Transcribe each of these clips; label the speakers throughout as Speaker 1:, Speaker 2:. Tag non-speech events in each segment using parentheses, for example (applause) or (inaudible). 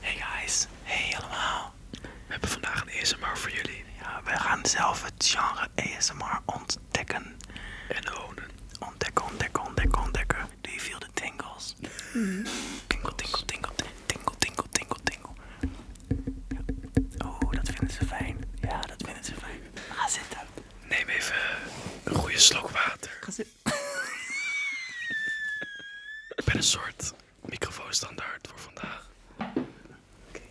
Speaker 1: Hey guys, hey allemaal. We hebben vandaag een ASMR voor jullie. Ja, we gaan zelf het genre ASMR ontdekken. En honen. Ontdekken, ontdekken, ontdekken, ontdekken. Do you feel the tingles? Mm-hmm. Tingle, tingle, tingle, tingle, tingle, tingle, tingle. Oh, dat vinden ze fijn. Ja, dat vinden ze fijn. Ga zitten. Neem even een goede slok water. Ik ben een soort microfoonstandaard voor vandaag. Oké.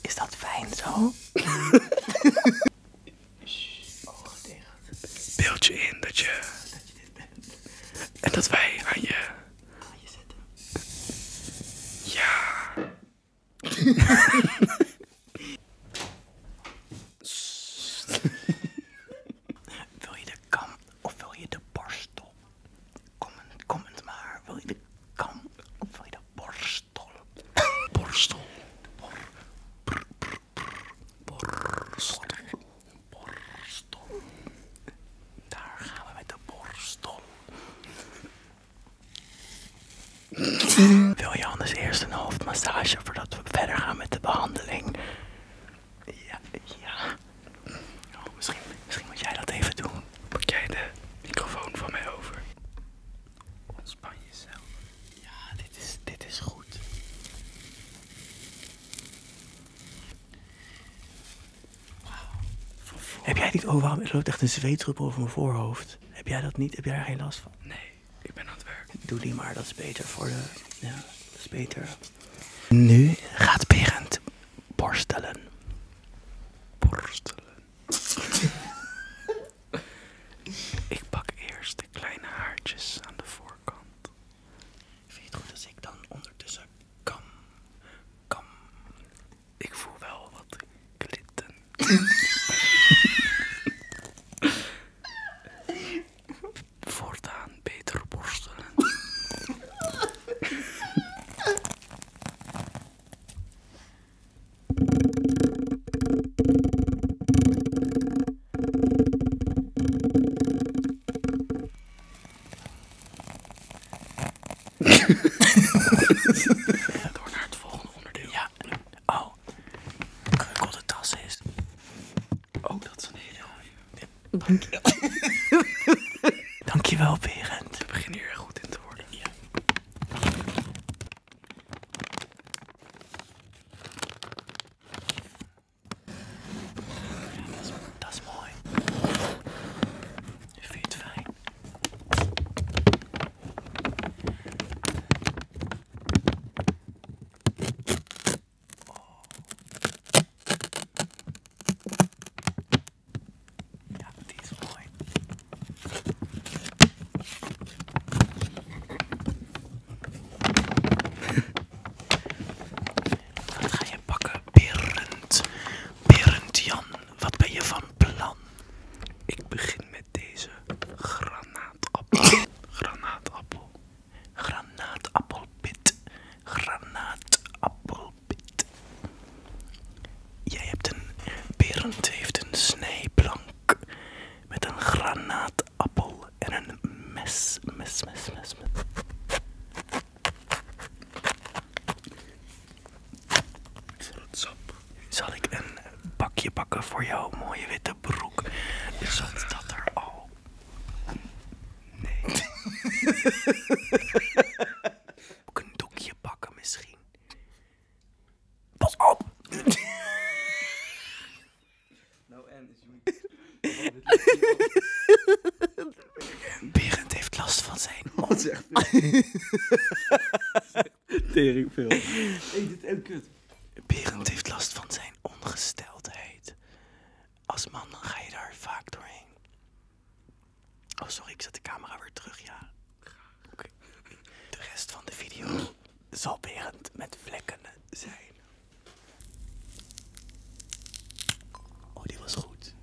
Speaker 1: Is dat fijn zo? (laughs) Oh, Beeld je in dat je... Dat je dit bent. En dat wij aan je... Aan je zetten. Ja. (laughs) (laughs) wil je de kam of wil je de borstel? Kom comment maar. Wil je de kam of wil je de borstel? borstel. borstel. Borstel. Daar gaan we met de borstel. wil je anders eerst een hoofdmassage voor dat we verder gaan met de behandeling. Ja, ja. Oh, misschien, moet jij dat even doen. Pak jij de microfoon van mij over? Ontspan jezelf. Ja, dit is, dit is goed. Wauw. Heb jij dit oh waarom loopt echt een zweetdruppel over mijn voorhoofd? Heb jij dat niet? Heb jij daar geen last van? Nee, ik ben aan het werk. Doe die maar, dat is beter voor de... Ja, dat is beter. Nu gaat Berend borstelen. Borstelen. (laughs) ik pak eerst de kleine haartjes aan de voorkant. Vind je het goed als ik dan ondertussen kam? Kam. Ik voel wel wat klitten. (laughs) (laughs) Voortaan beter borstelen. Door naar het volgende onderdeel. Ja. Oh, wel kreukelde tas is. Oh, dat is een hele mooie. Dank je. (laughs) Dankjewel, Berend. We beginnen hier goed in te worden. Ja. dat, is, dat is mooi. Vind je het fijn? Wat (laughs) ga je pakken, Berend? Berend Jan, wat ben je van plan? Ik begin met deze Granaatappel. (coughs) Granaatappel. Granaatappelpit. Granaatappelpit. Jij hebt een. Berend heeft een snijplank. Met een granatappel en een mes. Mes, mes, mes, mes. het Zal ik een bakje bakken voor jou, mooie witte? broek. Zat dat er al? Nee. (laughs) Ook een doekje pakken misschien. Pas op! Nou en, Berend heeft last van zijn (laughs) mond. (laughs) (laughs) Tering Eet het kut. Berend heeft last van zijn ongesteldheid. Als man ga je daar vaak doorheen. Oh, sorry, ik zet de camera weer terug, ja. Oké. De rest van de video zal Berend met vlekken zijn. Oh, die was goed.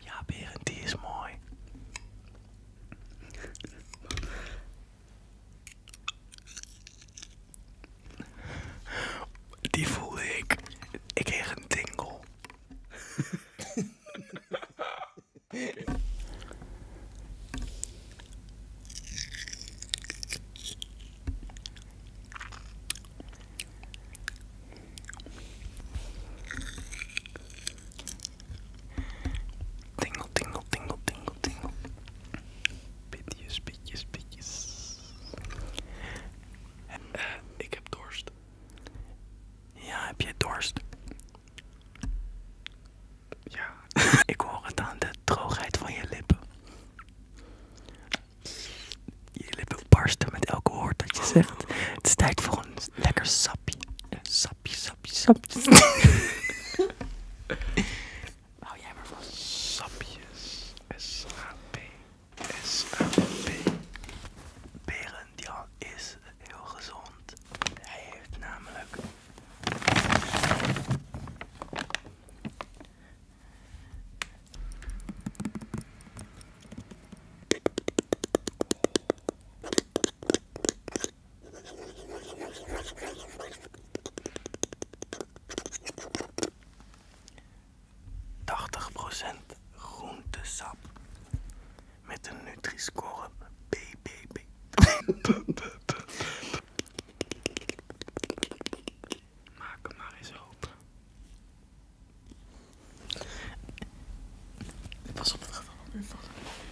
Speaker 1: Ja, Berend, die is mooi. Die voelde ik. Ik heb een tingle. (laughs) Okay. Tingle, tingle, tingle, tingle, tingle. Pitjes, pitjes, pitjes. Uh, ik heb dorst. Ja, heb je dorst? Ja. (laughs) Ik hoor het aan de droogheid van je lippen. Je lippen barsten met elke woord dat je zegt. Het is tijd voor een lekker sapje. Een sapje, sapje, sapje. (laughs) Hou jij maar van sapjes. S-A-P. s dit is heel gezond. Hij heeft namelijk tachtig procent groentesap met een Nutri-score BBB. Maak hem maar eens open. Pas op, het geval allemaal weer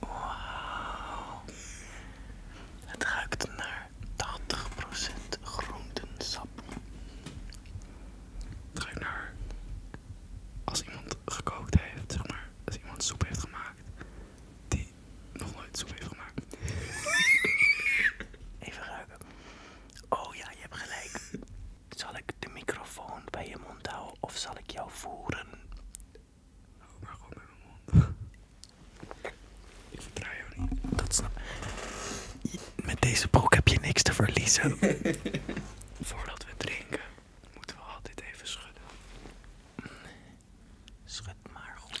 Speaker 1: Wauw. Het ruikt naar 80% groentensap. Het ruikt naar als iemand gekookt heeft, zeg maar. Als iemand soep heeft gemaakt. Die nog nooit soep heeft gemaakt. (laughs) Even ruiken. Oh ja, je hebt gelijk. Zal ik de microfoon bij je mond houden of zal ik jou voeren? Oh, maar gewoon met mijn mond. (laughs) ik vertrouw jou niet. Dat snap Met deze broek heb je niks te verliezen. (laughs) Voordat we drinken, moeten we altijd even schudden. Schud maar goed.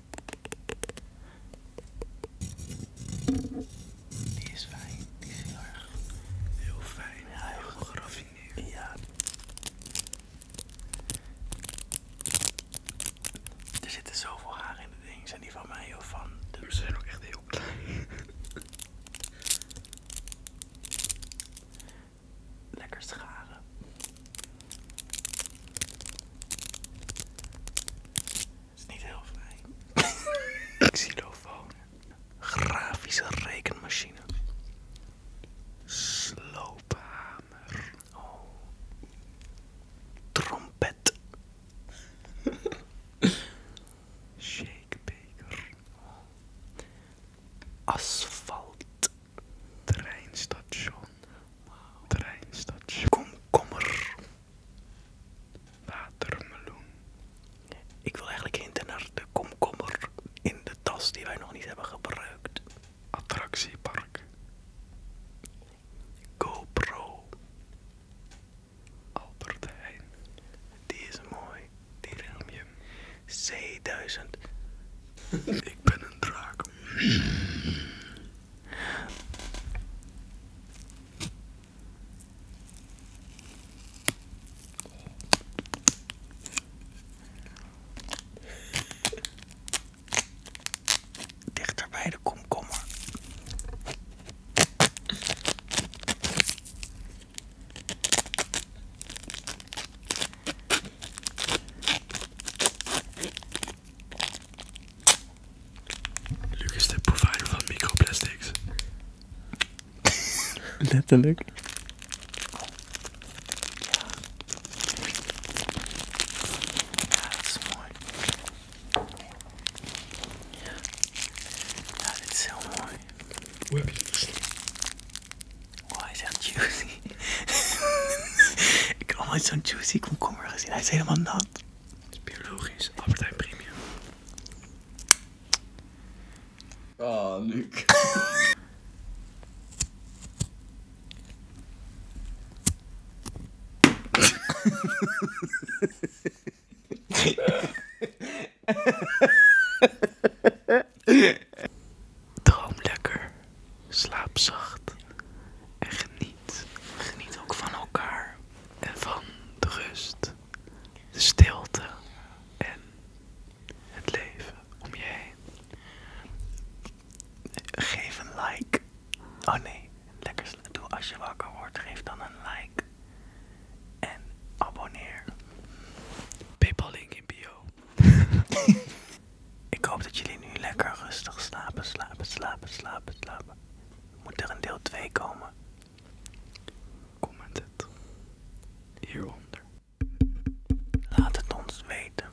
Speaker 1: Die is fijn, die is heel erg heel fijn, heel geraffineerd. Ja. Er zitten zoveel haren in de dingen. zijn die van mij of van de... Ze zijn ook echt heel klein. Lekker scharen is niet heel fijn. (laughs) Xylofoon. Grafische rekenmachine. Sloophamer. Oh. Trompet. (laughs) shakebeker, Asfalt. Treinstation. wauw, Treinstation. Komkommer. Watermeloen. Ik wil eigenlijk hinten naar de komkommer in de tas die wij nog niet hebben gebruikt. Attractiepark. GoPro. Albert Heijn. Die is mooi. Die ruim je. C1000. (laughs) Ik ben een draak. Dichter bij de komkommer. Lucas is de provider van microplastics. (laughs) Letterlijk. Ja, dat is mooi. Ja, dit is zo mooi. Hoe heb je dit gezien? is echt juicy. (laughs) Ik heb al nooit zo'n juicy komkommer gezien. Hij is helemaal nat is biologisch, Albert Premium. Ah, oh, Luc. lekker. Slaap zacht en geniet. Geniet ook van elkaar en van de rust, de stilte en het leven om je heen. Geef een like. Oh nee, lekker doe als je wakker wordt, geef dan een like en abonneer. Paypal link in bio. (laughs) Ik hoop dat jullie nu lekker rustig slapen, slapen, slapen, slapen, slapen. Moet er een deel 2 komen? Comment het hieronder. Laat het ons weten.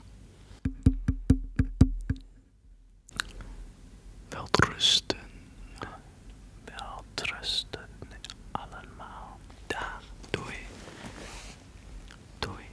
Speaker 1: Wel rusten. allemaal. Daar. Doei. Doei.